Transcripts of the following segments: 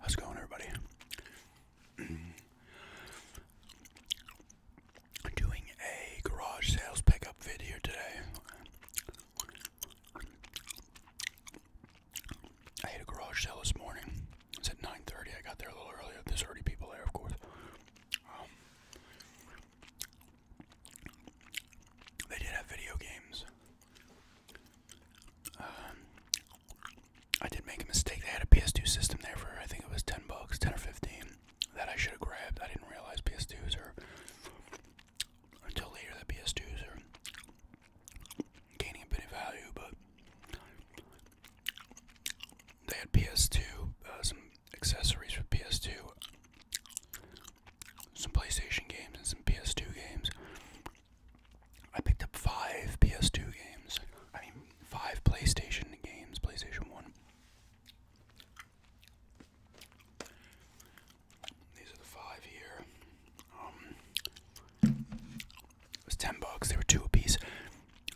How's it going, everybody? Doing a garage sales pickup video today. I had a garage sale this morning. It's at 9:30. I got there a little earlier. There's thirty people there, of course. Um, they did have video games. Um, I did make a mistake. They had a PS2 system there for I think it was 10 bucks, 10 or 15, that I should have grabbed. I didn't realize PS2s are until later that PS2s are gaining a bit of value, but they had PS2, uh, some accessories for PS2, some PlayStation games, and some PS2 games. I picked up five PS2 games. I mean, five PlayStation games, PlayStation 1. These are the five here. Um, it was 10 bucks. They were two a piece.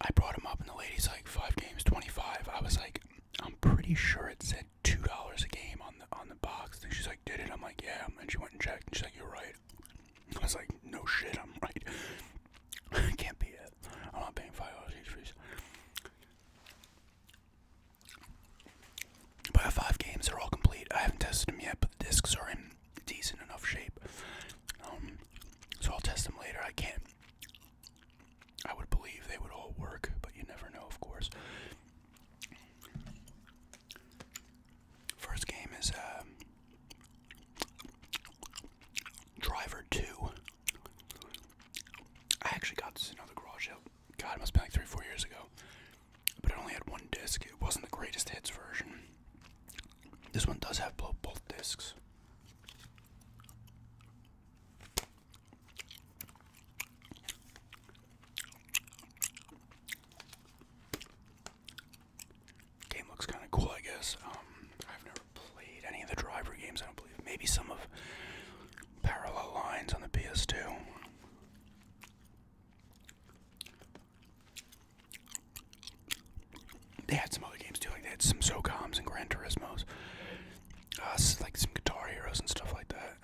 I brought them up, and the lady's like, five games, 25. I was like, I'm pretty sure it said $2 a game on the on the box. And she's like, did it? I'm like, yeah. And she went and checked, and she's like, you're right. I was like, no shit, I'm right. Can't be it. I'm not paying $5 each for these. five games. They're all complete. I haven't tested them yet, but the discs are in decent enough shape. Um, so I'll test them later. I can't. I would believe they would all work, but you never know, of course. First game is um, Driver 2. I actually got this in another garage sale. God, it must be like three, four years ago. But it only had one disc. It wasn't the greatest hits version. This one does have both, both discs. Game looks kind of cool, I guess. Um, I've never played any of the driver games. I don't believe. Maybe some of Parallel Lines on the PS2. They had some other games too, like they had some SOCOMs and Gran Turismos, uh, like some Guitar Heroes and stuff like that.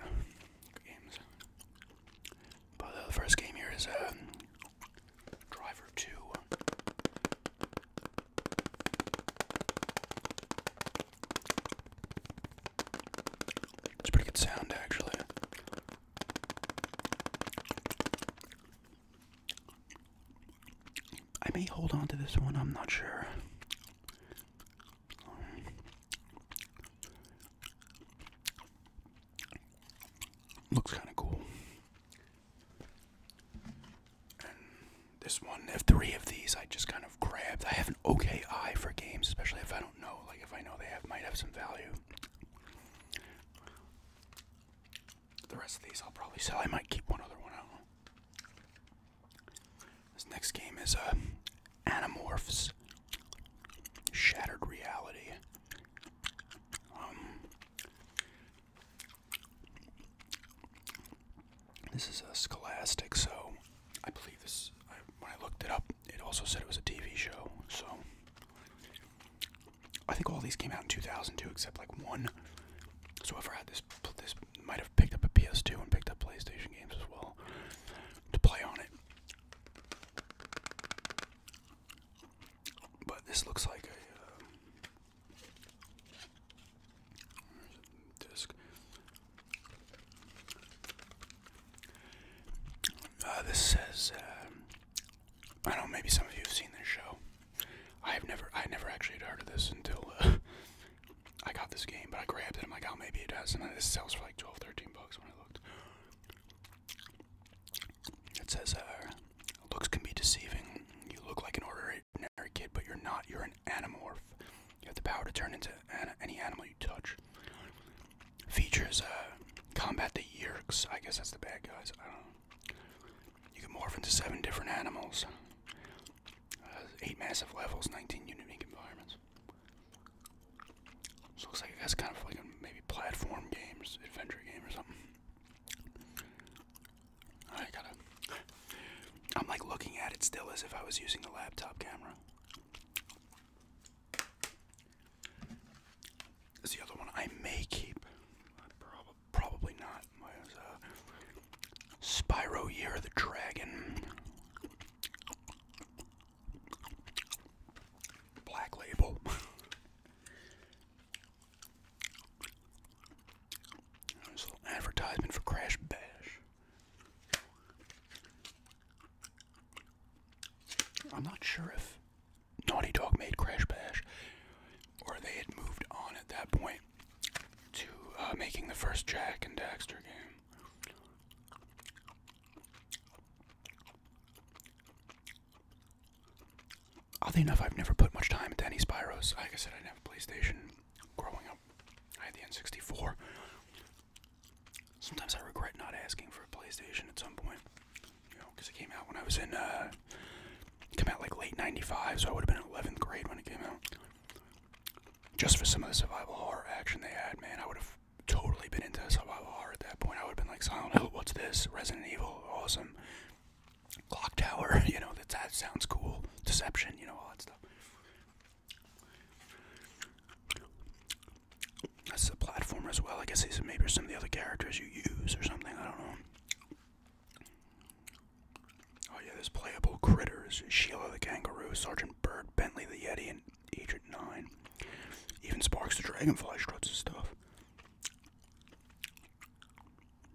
But uh, the first game here is um, Driver 2. It's pretty good sound actually. I may hold on to this one, I'm not sure. Looks kind of cool. this one, of three of these I just kind of grabbed. I have an okay eye for games, especially if I don't know. Like if I know they have might have some value. The rest of these I'll probably sell. I might keep one other one. out. This next game is uh, Animorphs Shattered Reality. Um, this is a Scholastic, so I believe this. I, when I looked it up, it also said it was a TV show. So I think all these came out in 2002, except like one. So whoever had this, this might have picked up a PS2 and picked up PlayStation games as well to play on it. But this looks like a uh, disc. Uh, this says uh, I don't know, maybe some of you have seen this show. I've never, I never actually had heard of this until uh, I got this game, but I grabbed it. I'm like, oh, maybe it does. And this sells for like 12, 13 bucks when I looked. It says, uh, looks can be deceiving. You look like an ordinary kid, but you're not. You're an animorph. You have the power to turn into any animal you touch. Features uh, combat the Yerks. I guess that's the bad guys. I don't know. You can morph into seven different animals. Uh, eight massive levels, 19 unique environments. looks like it has kind of like a maybe platform games, adventure game or something. I gotta. I'm like looking at it still as if I was using the laptop camera. It's the other one I may keep. probably not. Uh, Spyro Year of the Dragon. Black Label. There's little advertisement for Crash Bash. I'm not sure if Naughty Dog made Crash Bash, or they had moved on at that point to uh, making the first Jack and Daxter game. Oddly enough, I've never put much time into any Spyros. Like I said, I didn't have a PlayStation growing up. I had the N64. Sometimes I regret not asking for a PlayStation at some point you know, because it came out when I was in, uh, it came out like late 95, so I would have been in 11th grade when it came out. Just for some of the survival horror action they had, man, I would have totally been into survival horror at that point. I would have been like, Silent Hill, what's this? Resident Evil, awesome. Clock Tower, you know, that, that sounds cool. Deception, you know, all that stuff. That's the platform as well. I guess these are maybe some of the other characters you use or something. I don't know. Oh yeah, there's playable critters. Sheila the kangaroo, Sergeant Bird, Bentley the Yeti, and Agent Nine. Even Sparks the Dragonfly struts his stuff.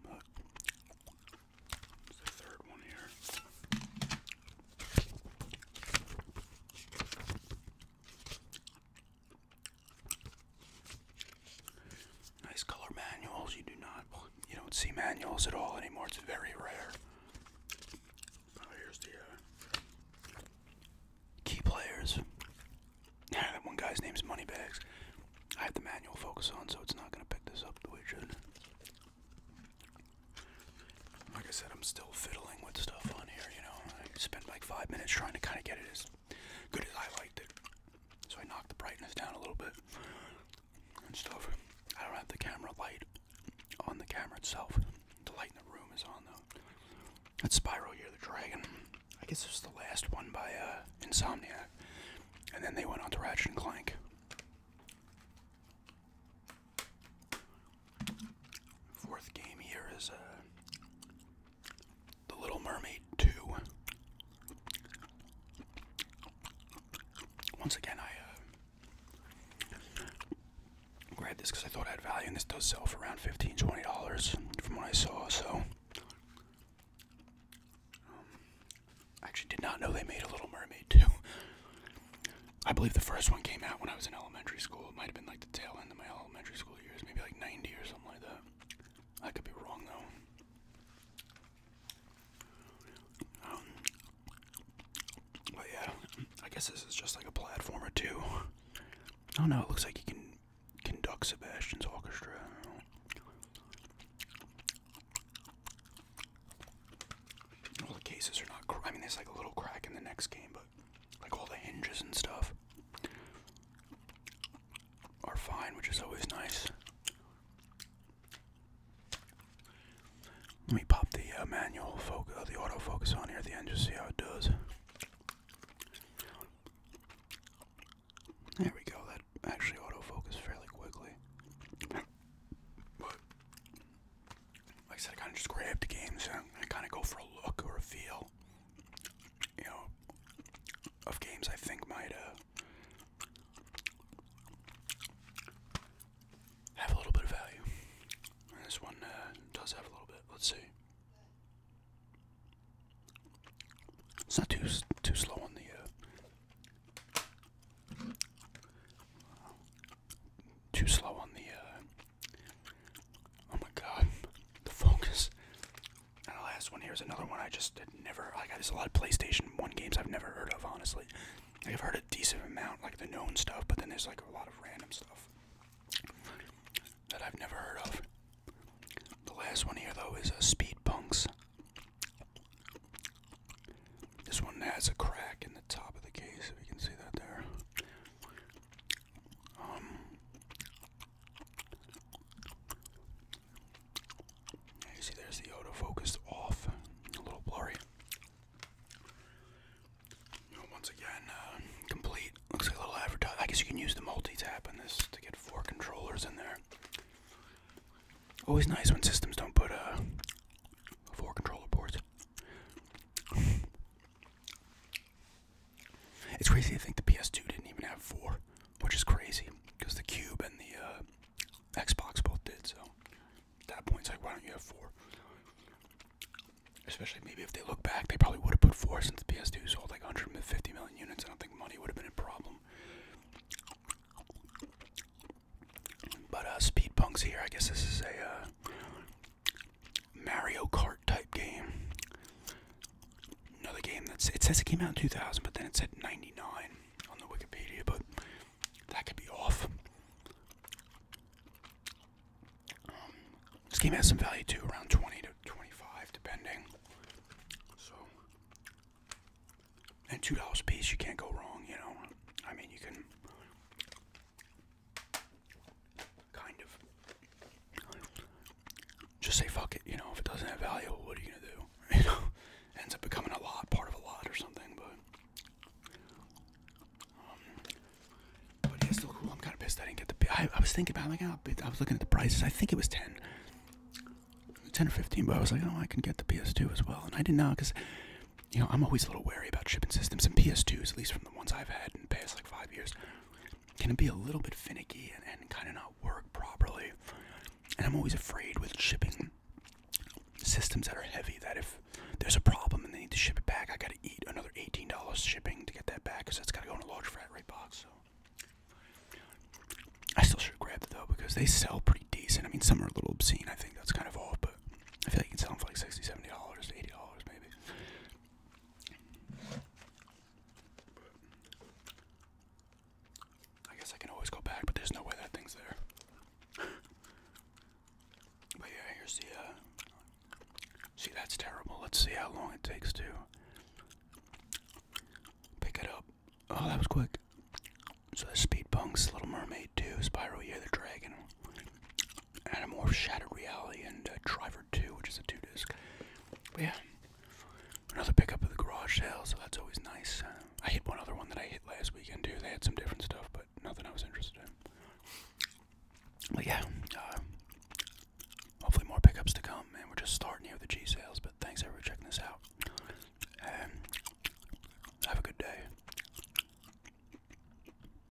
But, the third one here. Nice color manuals. You do not, you don't see manuals at all anymore. It's very rare. Oh, here's the uh, key players. Yeah, that one guy's name's Moneybags. I have the manual focus on, so it's not going to pick this up the way it should. Like I said, I'm still fiddling with stuff on here, you know. I spent like five minutes trying to kind of get it as good as I liked it. So I knocked the brightness down a little bit and stuff. I don't have the camera light on the camera itself. The light in the room is on though. That's Spiral Year the Dragon. I guess it was the last one by uh, Insomniac. And then they went on to Ratchet and Clank. Fourth game here is uh, The Little Mermaid 2. Once again, I uh, grabbed this because I thought I had value, and this does sell for around $15, $20 from what I saw, so. Um, I actually did not know they made a Little Mermaid 2. I believe the first one came out when I was in elementary school. It might have been like the tail end of my elementary school years, maybe like 90 or something like that. I could be wrong though. Um, but yeah, I guess this is just like a platformer too. I don't know. It looks like you can conduct Sebastian's orchestra. I the cases are not. I mean, there's like a little crack in the next game, but like all the hinges and stuff are fine, which is always nice. Let me pop the uh, manual focus, uh, the autofocus on here the end, just see how it does. There we go. That actually autofocused fairly quickly. like I said, I kind of just grabbed games and I kind of go for a look or a feel you know, of games I think might uh, have a little bit of value. this one uh, does have a little bit. Let's see. It's not too too slow on the uh, too slow on the Oh my god, the focus. And the last one here is another one I just never. I got a lot of PlayStation 1 games I've never heard of, honestly. I've heard a decent amount, like the known stuff, but then there's like a lot of random stuff that I've never heard of. The last one here, though, is uh, Speed Punks. This one has a crack in the top of the case, if you can see that there. Um, you see, there's the autofocus off, a little blurry. once again, uh, complete. Looks like a little advertise. I guess you can use the multi-tap on this to get four controllers in there. Always nice when systems don't put uh, four controller ports. It's crazy to think the PS2 didn't even have four, which is crazy because the Cube and the uh, Xbox both did. So that point, it's like, why don't you have four? Especially maybe if they look back, they probably would have put four since the PS2 sold like 150 million units. I don't think money would have been a problem. But uh, Speed Punk's here. I guess this is a uh, Mario Kart type game. Another game that's it says it came out in 2000, but then it said 99 on the Wikipedia, but that could be off. Um, this game has some value too, around 20 to 25, depending. So, and two dollars a piece, you can't go wrong. You know, I mean, you can Kind of. Just say fuck it, you know, if it doesn't have value, what are you gonna do? You know, ends up becoming a lot, part of a lot or something, but. Um, but yeah, still cool. I'm kind of pissed I didn't get the. I, I was thinking about like, oh, I was looking at the prices. I think it was 10. or 15, but I was like, oh, I can get the PS2 as well. And I didn't know because, you know, I'm always a little wary about shipping systems. And PS2s, at least from the ones I've had in the past, like five years can be a little bit finicky and, kind of not work properly. And I'm always afraid with shipping systems that are heavy that if there's a problem and they need to ship it back, I got to eat another $18 shipping to get that back because that's got to go in a large frat rate box. So. I still should grab it though because they sell pretty decent. I mean, some are a little obscene. I think that's kind of off, but I feel like you can sell them for like $60, $70 $80 maybe. I guess I can always go back, but there's no way that thing's there. but yeah, here's the. Uh, see, that's terrible. Let's see how long it takes to pick it up. Oh, that was quick. So the Speed Bumps, Little Mermaid 2, Spyro Year the Dragon, and a more Shattered Reality and uh, Driver 2, which is a two disc. But yeah, another pickup of the garage sale, so that's always nice. Uh, I hit one other one that I hit last weekend too. They had some different stuff, but nothing I was interested in. But yeah, uh, hopefully more pickups to come, and we're just starting here the G sales. But thanks everyone checking this out, and have a good day.